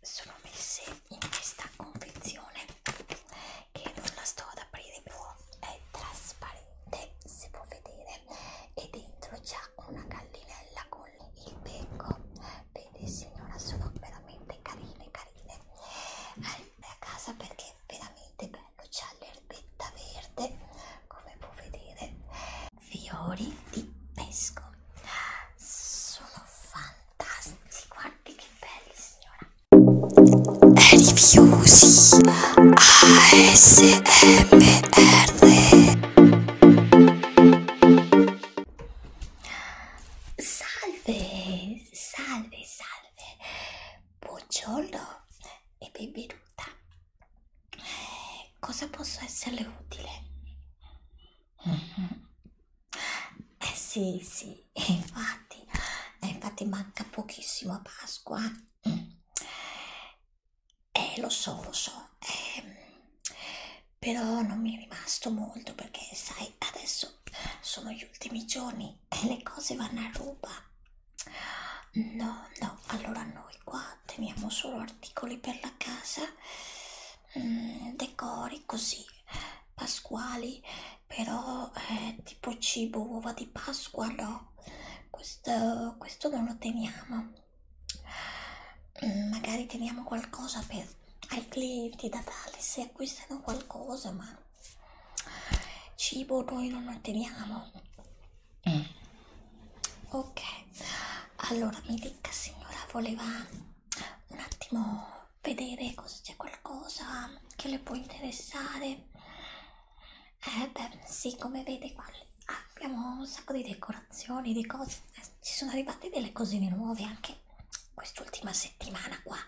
sono messe in questa confezione che non la sto ad aprire più è trasparente si può vedere e dentro c'è una gallinella con il becco vedi signora sono veramente carine carine Arriva a casa perché è veramente bello c'è l'erbetta verde come può vedere fiori di pesco sono fantastici fantastici, guardi che belli signora Rifiusi ASMR Salve, salve, salve Buongiorno e benvenuta Cosa posso esserle utile? Mm -hmm. Eh sì, sì, e infatti, e eh, infatti manca pochissimo a Pasqua. Mm. Eh, lo so, lo so, eh, però non mi è rimasto molto perché, sai, adesso sono gli ultimi giorni e le cose vanno a ruba. No, no, allora noi qua teniamo solo articoli per la casa mh, mm, decori così pasquali però eh, tipo cibo uova di pasqua no questo, questo non lo teniamo mh, mm, magari teniamo qualcosa per ai clienti da dare se acquistano qualcosa ma cibo noi non lo teniamo mm. ok allora mi dica signora voleva un attimo vedere se c'è qualcosa che le può interessare eh beh sì come vede qua abbiamo un sacco di decorazioni di cose eh, ci sono arrivate delle cosine nuove anche quest'ultima settimana qua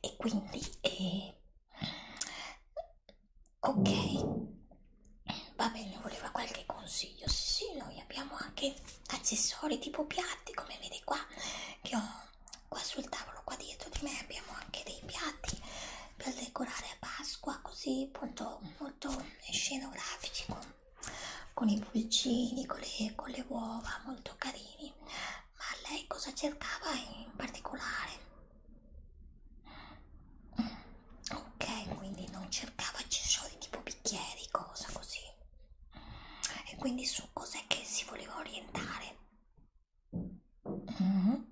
e quindi eh, ok va bene voleva qualche consiglio sì, sì noi abbiamo anche accessori tipo piatti come vedi qua che ho qua sul tavolo qua dietro di me abbiamo anche dei piatti per decorare a Pasqua così appunto molto scenografici con, con i pulcini con le, con le uova molto carini ma lei cosa cercava in particolare ok quindi non cercava accessori tipo bicchieri cosa così e quindi su cos'è che si voleva orientare mm -hmm.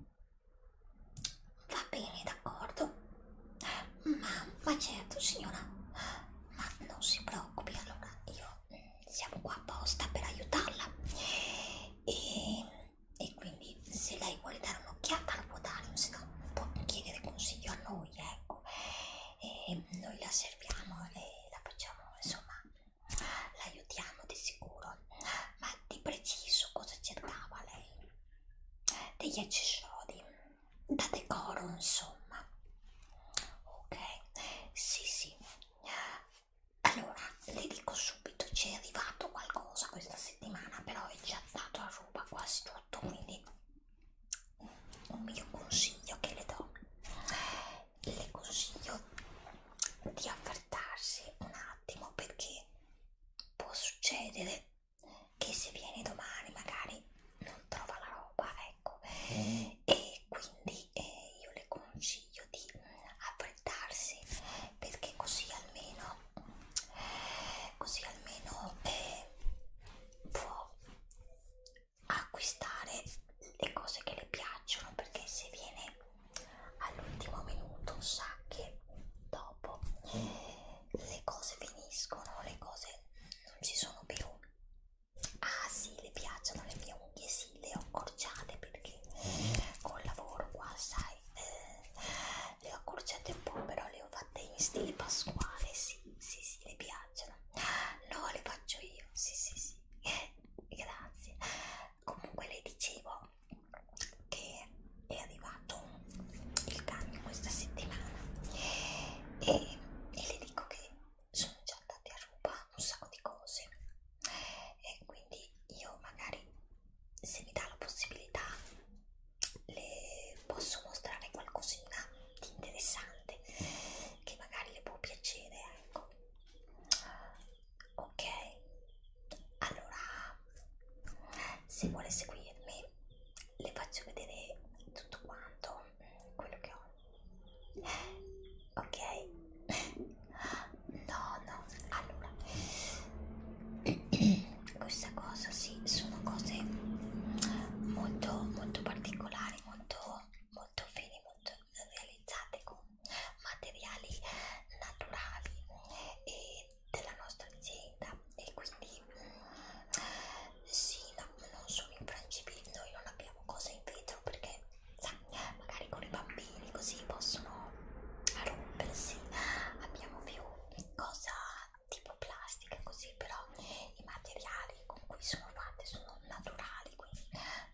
va bene d'accordo ma, ma certo signora ma non si preoccupi allora io mm, siamo qua apposta per aiutarla e, e quindi se lei vuole dare un'occhiata lo può dare se no può chiedere consiglio a noi ecco e noi la serviamo e la facciamo insomma l'aiutiamo di sicuro ma di preciso cosa cercava lei degli accessori da decoro insomma ok sì sì allora le dico subito c'è arrivato qualcosa questa settimana però è già dato a ruba quasi tutto quindi un mio consiglio che le do le consiglio di affrettarsi un attimo perché può succedere che se viene domani magari non trova la roba ecco e quindi eh, io le consiglio di affrettarsi perché così almeno così almeno eh, può acquistare le cose che le piacciono perché se viene all'ultimo minuto sa che dopo eh, le cose finiscono, le cose non ci sono più. Ah sì, le piacciono le mie unghie, sì, le ho accorciate perché col lavoro qua, sai, eh, le ho accorciate un po', però le ho fatte in stile pasquale, sì, sì, sì, le piacciono assaggiano no le faccio io sì sì sì grazie comunque le dicevo che è arrivato il cambio questa settimana e, e le dico che sono già andati a ruba un sacco di cose e quindi io magari se mi dà la possibilità le posso mostrare qualcosina interessante, interessante che magari le può piacere, ecco. Ok, allora se vuole seguirmi le faccio vedere tutto quanto quello che ho. Ok, no, no, allora questa cosa sì, sono cose molto molto particolari, molto molto fini, molto realizzate con materiali naturali e della nostra azienda e quindi mm, sì, no, non sono infrangibili, noi non abbiamo cose in vetro perché sa, magari con i bambini così possono rompersi, abbiamo più cosa tipo plastica così però i materiali con cui sono fatte sono naturali quindi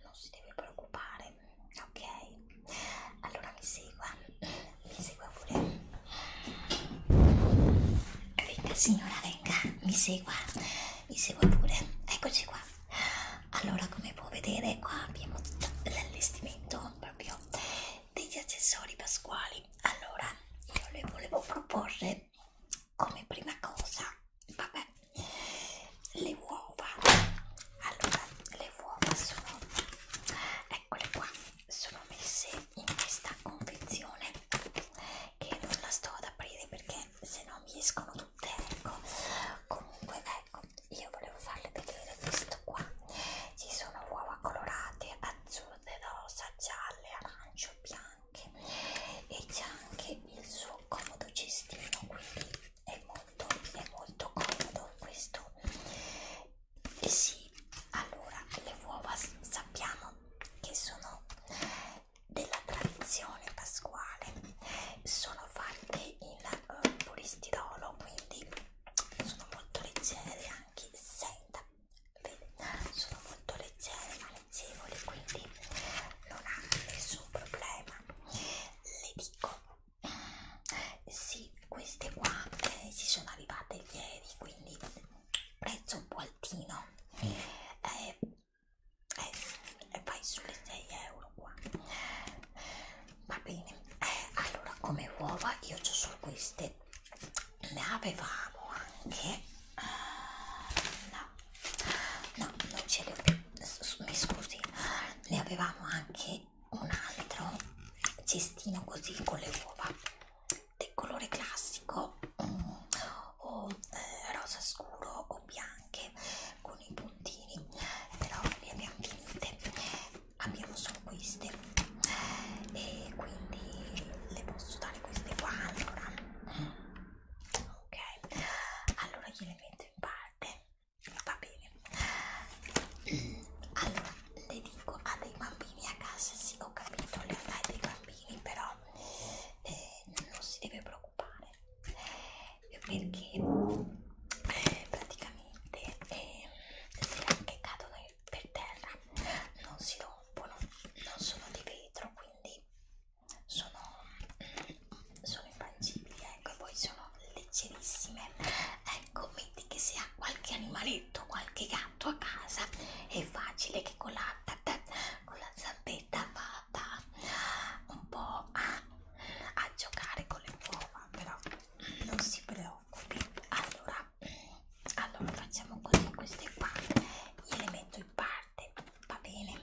non si deve preoccupare ok allora mi segua mi segua pure venga signora venga mi segua mi segua pure eccoci qua allora come può vedere qua abbiamo l'allestimento proprio degli accessori pasquali allora io le volevo proporre come prima cosa vabbè le uova allora le uova sono eccole qua sono messe in questa confezione che non la sto ad aprire perché se no mi escono tutte ecco comunque ecco io volevo farle vedere questo qua ci sono uova colorate azzurre rosa gialle arancio bianco bianche e c'è anche il suo comodo cestino quindi è molto, è molto comodo questo e sì allora le uova sappiamo che sono della tradizione pasquale sono fatte in uh, eh, polistirolo quindi sono molto leggere anche senza sono molto leggere ma leggevoli quindi non ha nessun problema le dico sì queste qua eh, ci sono arrivate ieri quindi prezzo un po' altino eh, eh, vai sulle 6 euro qua va bene eh, allora come uova io ho solo queste ne avevamo anche Ah, no no non ce le ho più mi scusi ne avevamo anche un altro cestino così con le uova del colore classico mm, o eh, rosa scuro o bianche con i puntini però le abbiamo finite abbiamo solo queste e quindi le posso dare queste qua allora ok allora gliele metto in parte va bene allora le dico a dei bambini a casa sì ho capito le fai dei bambini però eh, non si deve preoccupare perché eh, praticamente eh, se anche cadono per terra non si rompono non sono di vetro quindi sono, sono infangibili ecco e poi sono leggerissime ecco metti che se ha qualche animaletto qualche gatto a casa è facile che con la, con la zampetta vada un po' a, a giocare con le uova però non si preoccupi allora allora facciamo così queste qua gliele metto in parte parte, va bene.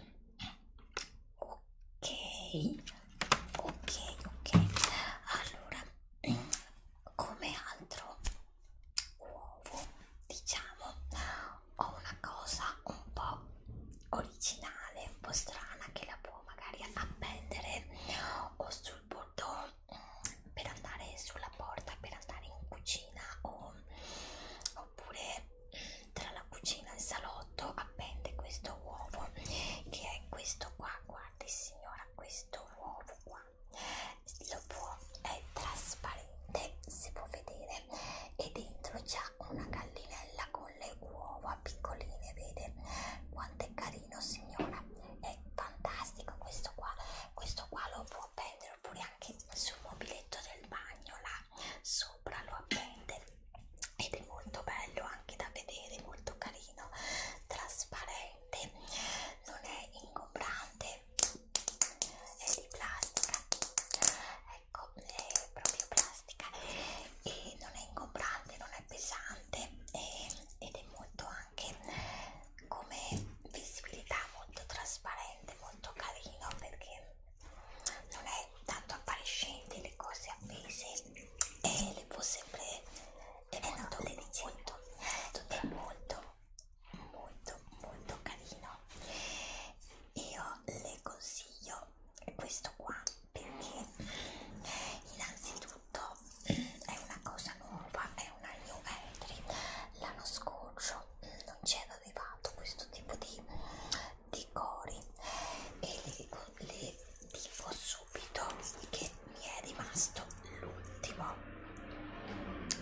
Ok, ok, ok. Allora, come altro uovo, diciamo, ho una cosa un po' originale, un po' strana che la può magari appendere o sul bordone mm, per andare sulla porta, per andare in cucina o, o oppure tra la cucina e il salotto appende questo uovo che è questo qua guardi signora questo uovo qua lo può è trasparente si può vedere e dentro c'è una gallinella con le uova piccoline vede quanto è carino signora è fantastico questo qua questo qua lo può appendere oppure anche sul mobiletto del bagno là sopra lo appende ed è molto bello anche da vedere, molto carino, trasparente, non è ingombrante, è di plastica, ecco, è proprio plastica e non è ingombrante, non è pesante e, ed è molto anche come visibilità molto trasparente, molto carino perché non è tanto appariscente le cose appese e le può sempre è molto delicito è molto molto molto carino io le consiglio questo qua perché innanzitutto è una cosa nuova è una new entry l'anno scorso non c'era arrivato questo tipo di di cori e le dico, le dico subito che mi è rimasto l'ultimo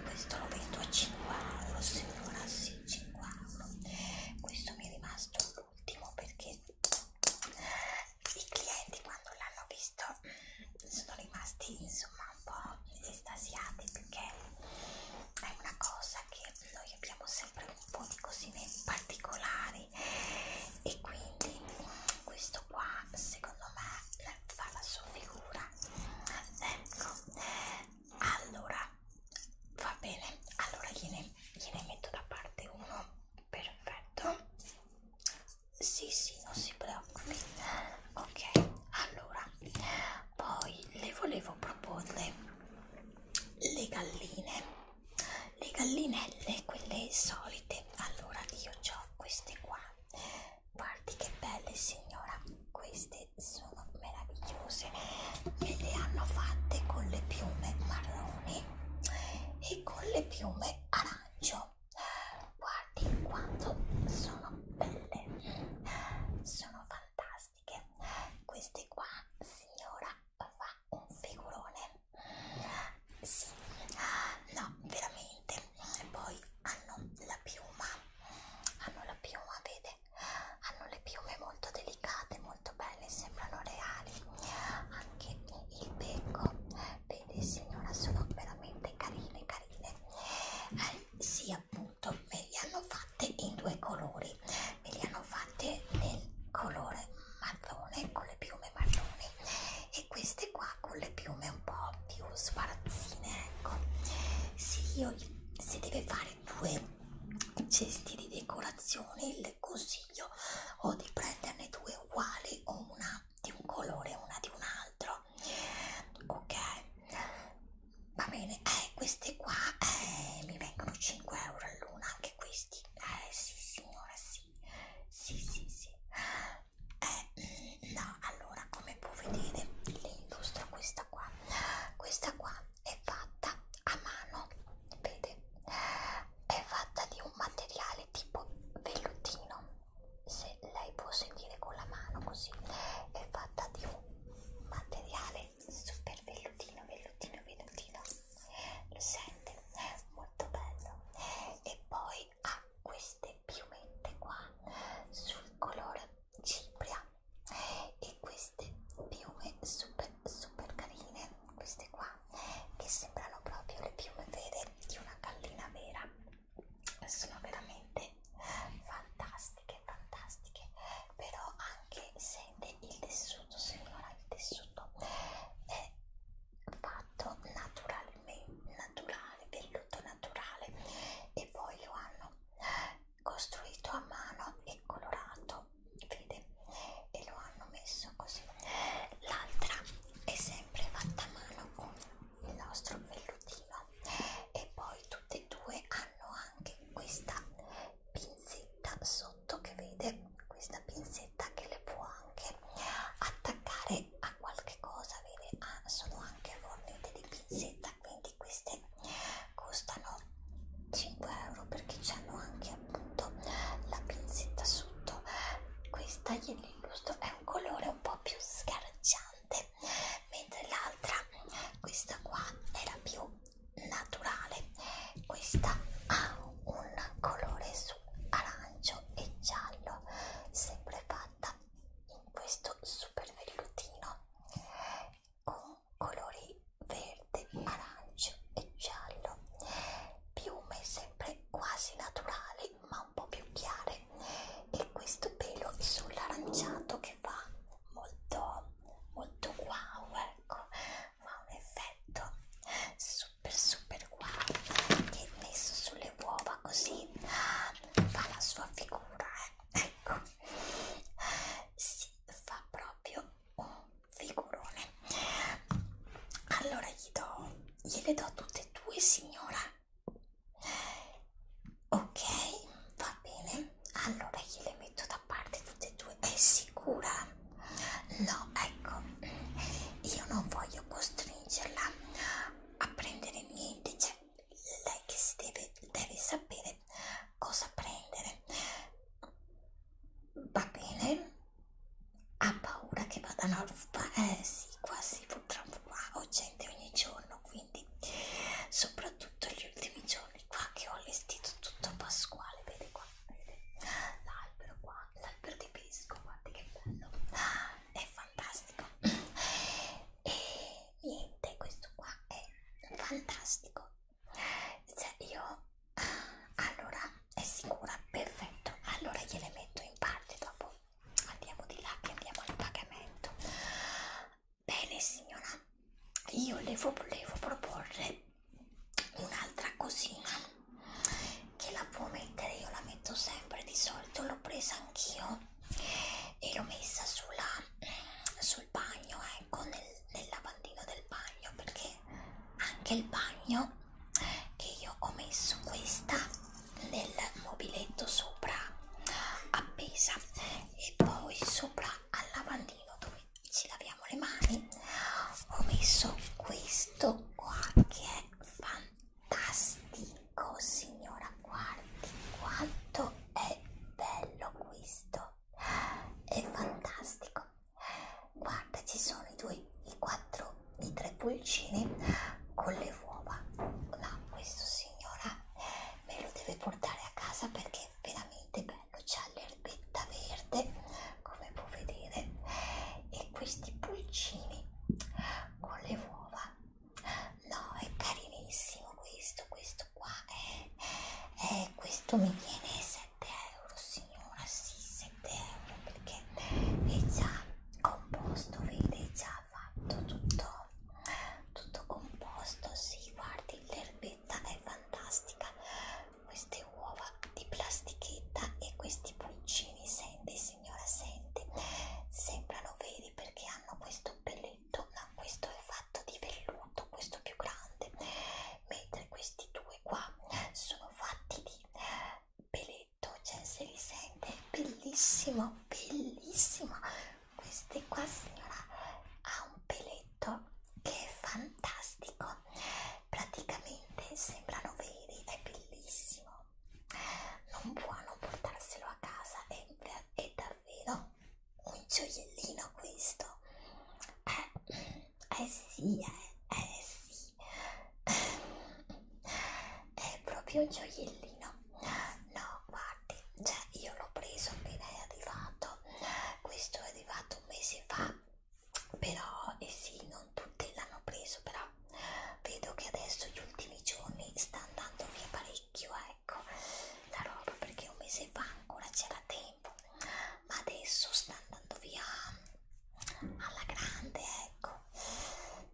questo lo vendo a 5 euro signora sì 5 euro questo mi è rimasto l'ultimo perché i clienti quando l'hanno visto sono rimasti insomma un po' estasiati perché è una cosa che noi abbiamo sempre un po' di cosine particolari e quindi questo qua secondo me fa la sua figura ecco allora va bene allora gliene, gliene metto da parte uno perfetto sì sì non si preoccupi ok allora poi le volevo proporre le galline le gallinelle quelle solite allora io ho queste qua guardi che belle signora queste sono meravigliose me le hanno fatte con le piume marroni e con le piume arancio guardi quanto sono belle sono fantastiche fantastiche queste qua signora fa un figurone sì ah, no veramente e poi hanno la piuma hanno la piuma vede hanno le piume molto delicate molto belle sembrano reali anche il becco vede signora sono veramente carine carine eh, sì appunto appunto me li hanno fatte in due colori me li hanno fatte nel colore marrone con le piume marroni e queste qua con le piume un po' più sbarazzine ecco se io se deve fare due cesti di decorazione le consiglio o di prenderne due uguali o una di un colore e una di un altro ok va bene, eh, queste qua eh, mi vengono 5 euro all'una, anche questi, eh sì signora, sì, sì sì sì, eh, no, allora come può vedere, le illustro questa qua, questa qua è fatta a mano, vede, è fatta di un materiale tipo vellutino, se lei può sentire con la mano così, è fatta di un materiale super vellutino, vellutino, vellutino lo sente? molto bello e poi ha queste piumette qua sul colore cipria e queste piume super super carine queste qua che sembrano proprio le piume vere di una gallina vera sono veramente fantastiche fantastiche però hanno anche sente il tessuto signora il tessuto è fatto naturalmente naturale velluto naturale e poi lo hanno costruito a mano e colorato vede e lo hanno messo così l'altra è sempre fatta a mano con il nostro vellutino e poi tutte e due hanno anche questa pinzetta sotto che vede questa pinzetta che le può anche attaccare a qualche cosa vede ah, sono anche fornite di pinzetta quindi queste costano 5 euro perché c'hanno anche appunto la pinzetta sotto questa gliel'illustro è un colore un po' più sgargiante mentre l'altra questa qua era più naturale questa ha un colore su arancio e giallo sempre fatta in questo super vellutino con colori verde arancio e giallo piume sempre quasi naturali ma un po più chiare e questo pelo sull'aranciato che che fa molto molto wow ecco fa un effetto super super wow che messo sulle uova così fa la sua figura eh. ecco si fa proprio un figurone allora gli do gliele do tutte e due signora ok va bene allora gliele metto da parte tutte e due è sicura? no ecco io non voglio costringerla a prendere niente cioè lei che si deve, deve sapere cosa prendere va bene ha paura che vadano al eh sì quasi purtroppo qua ho gente ogni giorno quindi soprattutto gli ultimi giorni è qua che ho allestito tutto pasquale vedi qua vedi? l'albero qua l'albero di pisco guardi che bello è fantastico e niente questo qua è fantastico cioè io allora è sicura perfetto allora gliele metto in parte dopo andiamo di là che andiamo al pagamento Bene signora, io le volevo proporre un'altra cosina che la può mettere, io la metto sempre di solito, l'ho presa anch'io e l'ho messa sulla, sul bagno, ecco, nel, nel lavandino del bagno perché anche il bagno che io ho messo questa nel mobiletto sopra appesa e poi sopra al lavandino dove ci laviamo le mani ho messo questo qua che è fantastico signora guardi quanto è bello questo è fantastico guarda ci sono i due i quattro i tre pulcini con le uova no questo signora me lo deve portare a casa perché è veramente bello c'ha l'erbetta verde come puoi vedere e questi pulcini con le uova no è carinissimo questo questo qua è, eh, è eh, questo mi viene 7 euro signora sì 7 euro perché è già composto vede è già fatto tutto tutto composto si sì, guardi l'erbetta ricetta è fantastica queste uova di plastichetta e questi pulcini senti signora senti sembrano veri perché hanno questo pelletto ma no, questo è fatto di velluto questo più grande mentre questi due qua sono fatti di pelletto cioè se li sente bellissimo bellissimo queste qua signora ha un pelletto fumetto che è fantastico praticamente sembrano veri è bellissimo non può non portarselo a casa è, è davvero un gioiellino questo eh, eh sì eh, eh sì è proprio un gioiellino no guardi cioè io l'ho preso appena è arrivato questo è arrivato comprato un mese fa però e eh sì non tutti l'hanno preso però vedo che adesso gli ultimi giorni sta andando via parecchio ecco la roba perché un mese fa ancora c'era tempo ma adesso sta andando via alla grande ecco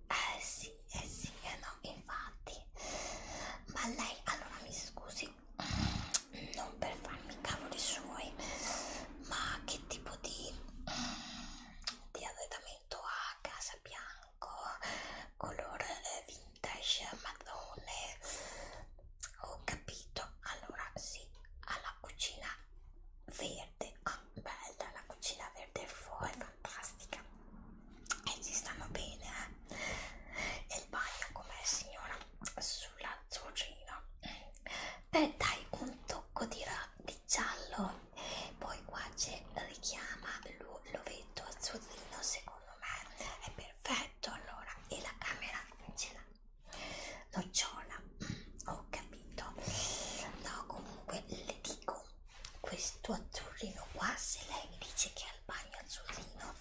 eh sì eh sì eh no infatti ma lei allora mi scusi dici mm, non per farmi i cavoli suoi ma che tipo di, mm, di arredamento ha casa bianco color eh, vintage marrone ho capito allora sì alla cucina verde ah bella la cucina verde fuori fantastica e ci stanno bene eh? e il bagno com'è signora sulla zucchina e dai un tocco di, di giallo poi qua c'è richiama l'ovetto azzurrino secondo me è perfetto allora e la camera ce l'ha nocciola mm, ho capito no comunque le dico questo azzurrino qua se lei mi dice che ha il bagno azzurrino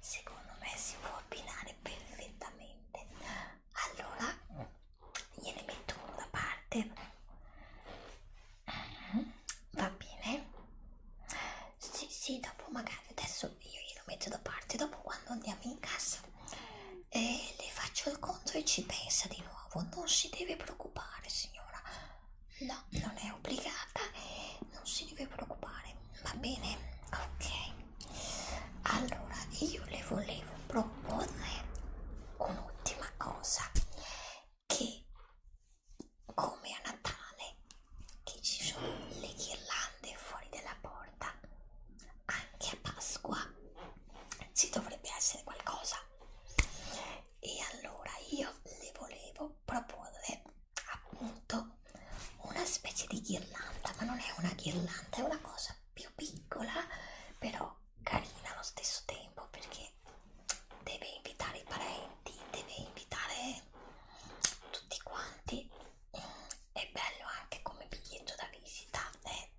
secondo me si può abbinare perfettamente allora gliene metto uno da parte mm, va bene sì sì dopo magari adesso io glielo metto da parte dopo quando andiamo in casa eh, le faccio il conto e ci pensa di nuovo non si deve preoccupare signora no non è obbligata non si deve preoccupare va bene ok allora io le volevo proporre un'ultima cosa che come a Natale che ci sono le ghirlande fuori dalla porta anche a Pasqua ci dovrebbe essere qualcosa e allora io le volevo proporre appunto una specie di ghirlanda, ma non è una ghirlanda, è una cosa più piccola, però carina allo stesso tempo perché deve invitare i parenti, deve invitare tutti quanti. È bello anche come biglietto da visita, eh,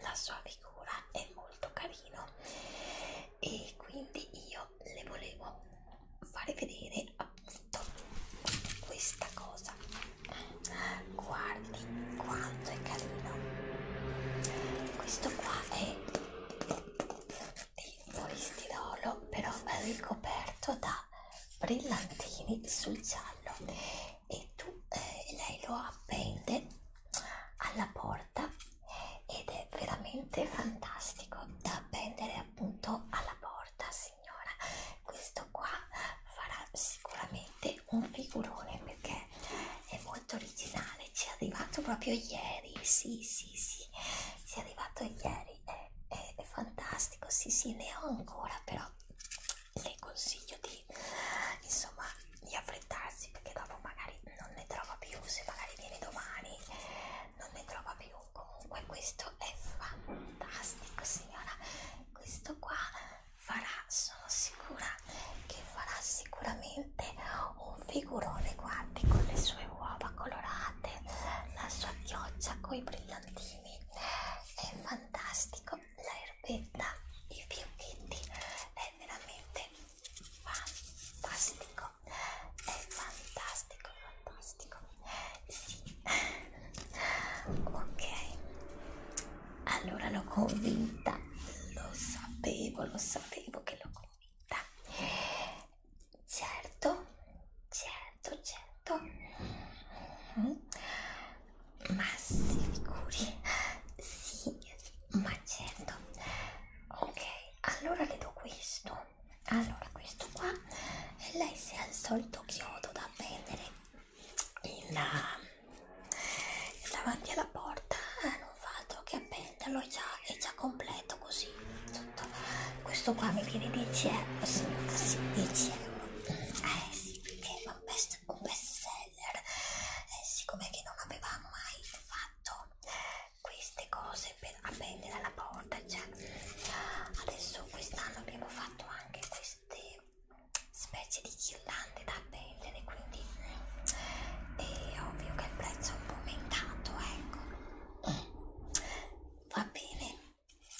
la sua figura è molto carino e quindi io le volevo fare vedere appunto detto questa cosa guardi quanto è carino questo qua è di polistirolo però ricoperto da brillantini sul giallo e tu eh, lei lo appende alla porta ed è veramente fantastico da appendere appunto alla porta sì signora questo qua farà sicuramente un figurone perché è molto originale ci è arrivato proprio ieri sì sì sì ci è arrivato ieri è, è, è fantastico sì sì ne ho ancora però le consiglio di insomma di affrettarsi perché dopo magari non ne trova più se magari viene domani non ne trova più comunque questo è fantastico signora questo qua farà sono sicura che farà sicuramente un figurone guardi con le sue uova colorate la sua chioccia con i brillantini è fantastico la erbetta i fiocchetti è veramente fantastico è fantastico fantastico sì ok allora l'ho convinta lo sapevo lo sapevo che l'ho convinta certo certo certo mm. ma si figuri sì ma certo ok allora le do questo allora questo qua e lei se al solito chiodo da vendere in, uh, davanti alla porta eh, non fa altro che appenderlo è già, è già completo così tutto. questo qua mi viene 10 euro signora sì 10 euro eh sì perché è un best, un best seller eh, siccome che non avevamo mai fatto queste cose per appendere alla porta cioè, adesso quest'anno abbiamo fatto anche questo queste specie di ghirlande da pelle quindi è ovvio che il prezzo è un po' aumentato ecco va bene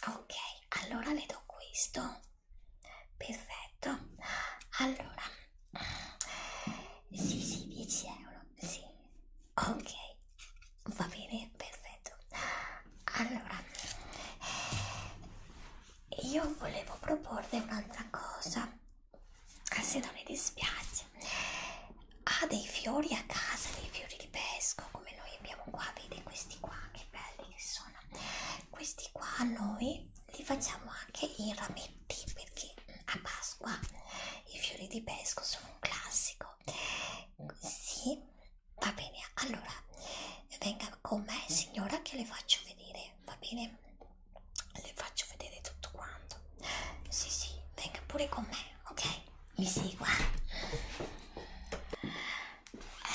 ok allora le do questo perfetto allora sì sì 10 euro sì ok va bene bene, perfetto. Allora, io volevo proporre un'altra cosa, se non mi dispiace. Ha dei fiori a casa, dei fiori di pesco, come noi abbiamo qua, vedi questi qua, che belli che sono. Questi qua noi li facciamo anche in rametti, perché a Pasqua i fiori di pesco sono un classico. Sì, Va bene, allora venga con me signora che le faccio vedere, va bene? Le faccio vedere tutto quanto. Sì, sì, venga pure con me, ok? Mi segua.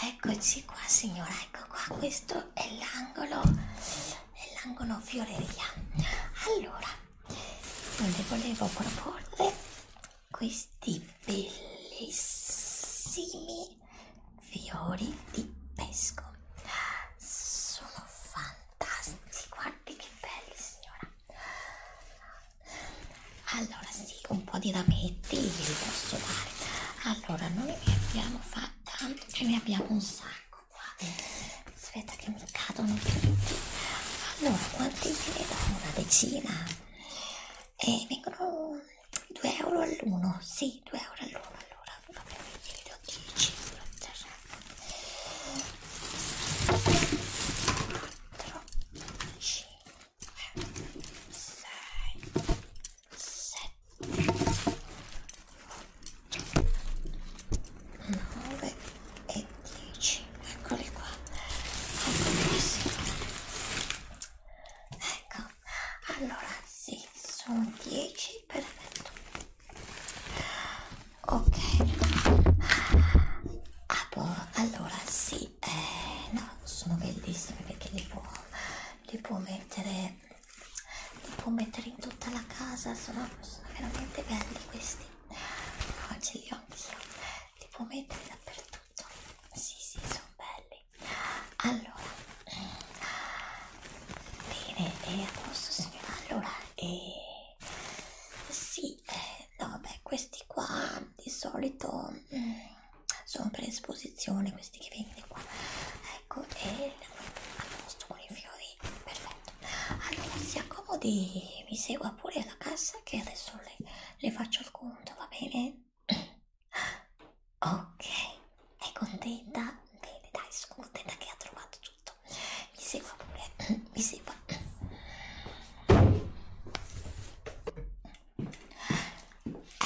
Eccoci qua signora, ecco qua, questo è l'angolo, è l'angolo fioreria. Allora, le volevo proporre questi bellissimi fiori di pesco sono fantastici guardi che belli signora allora sì un po' di rametti li posso dare allora noi ne abbiamo fatta ce ne abbiamo un sacco qua aspetta che mi cadono tutti allora quanti ce ne do una decina e vengono 2 euro all'uno, sì, 2 euro all'uno allora, vabbè, quindi vi do 10, 4, 5, 6, 7, 9 e 10, eccoli qua, ecco, ecco allora sì sono 10 perfetto ok ah, boh, allora sì eh, no sono bellissime perché li può, li può mettere li può mettere in tutta la casa sono, sono veramente belli questi no, ce li ho anch'io li può mettere dappertutto tutto sì sì sono belli allora bene e a posto signora allora e sì eh, no vabbè questi qua di solito mm, sono per esposizione questi che vende qua ecco e a posto con i fiori perfetto allora si accomodi mi segua pure alla cassa che adesso le, le faccio il conto va bene ok, è contenta? Bene, dai, sono contenta che ha trovato tutto. Mi segua pure, eh, mi segua.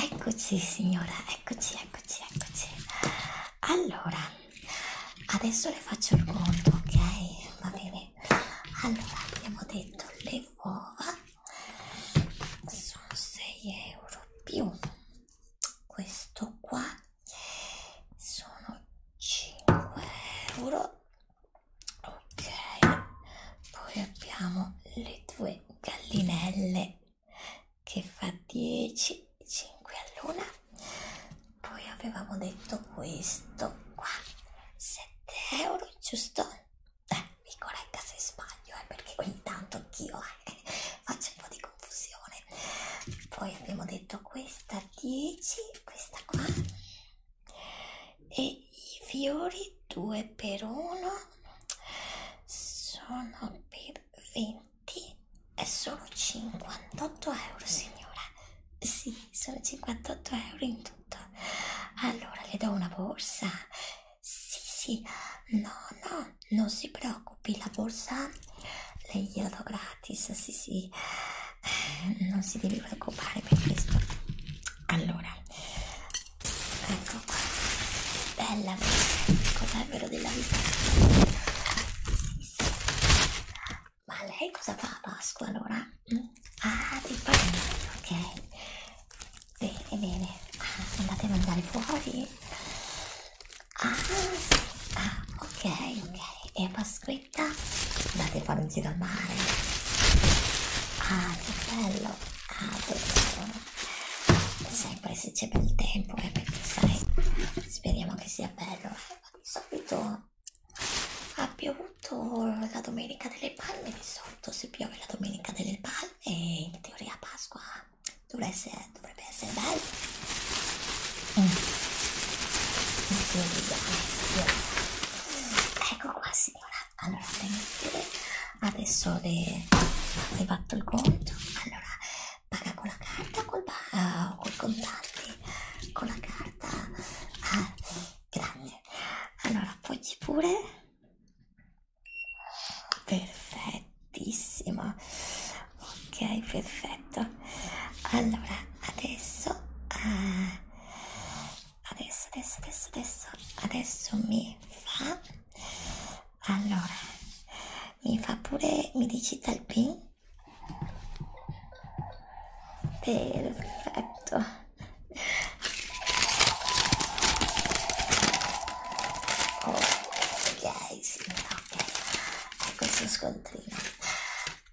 Eccoci signora, eccoci, eccoci, eccoci. Allora, adesso le faccio il conto, ok? Va bene. Allora, abbiamo detto le uova sono 6 euro più questo qua sono 5 euro ok poi abbiamo le due gallinelle che fa 10 5 all'una poi avevamo detto questo qua 7 euro giusto eh, mi corregga se sbaglio eh, perché ogni tanto anch'io eh, faccio un po' di confusione poi abbiamo detto questa 10 questa qua e i fiori 2 per 1 sono per 20 e sono 58 euro signora sì sono 58 euro in tutto allora le do una borsa sì, sì, no, no, non si preoccupi, la borsa le glielo gratis, sì, sì, non si deve preoccupare per questo. Allora, ecco qua, bella, cos'è vero della vita? Sì, sì. Ma lei cosa fa a Pasqua allora? Ah, di parere, ok. Bene, bene. Ah, andate a mangiare fuori? Ah, sì. ah ok, ok. E Pasquetta? Andate a fare un giro al mare. Ah, che bello. Ah, bello. Sempre se c'è bel tempo, eh, perché sai, speriamo che sia bello. Eh. Di solito ha piovuto la domenica delle palme, di solito se piove la domenica delle palme e in teoria Pasqua essere, dovrebbe essere bello mm. in teoria, eh, ecco qua signora allora vedere. adesso le hai fatto il conto allora paga con la carta col, uh, col contante con la carta ah, grazie allora poggi pure perfettissima ok perfetto allora adesso eh, adesso adesso adesso adesso adesso mi fa allora mi fa pure mi digita il pin perfetto ok signora ok ecco il suo scontrino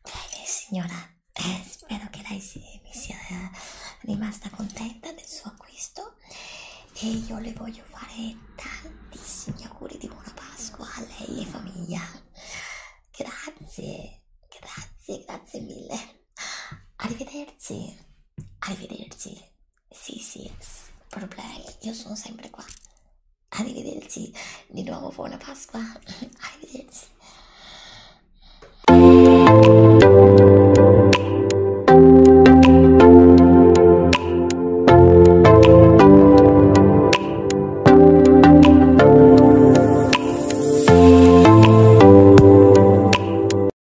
bene signora eh, spero che lei si, mi sia eh, rimasta contenta del suo acquisto e io le voglio fare tantissimi auguri di buona Pasqua a lei e famiglia grazie grazie grazie mille arrivederci arrivederci sì, sì, problemi, io sono sempre qua. Arrivederci di nuovo, buona Pasqua. Arrivederci.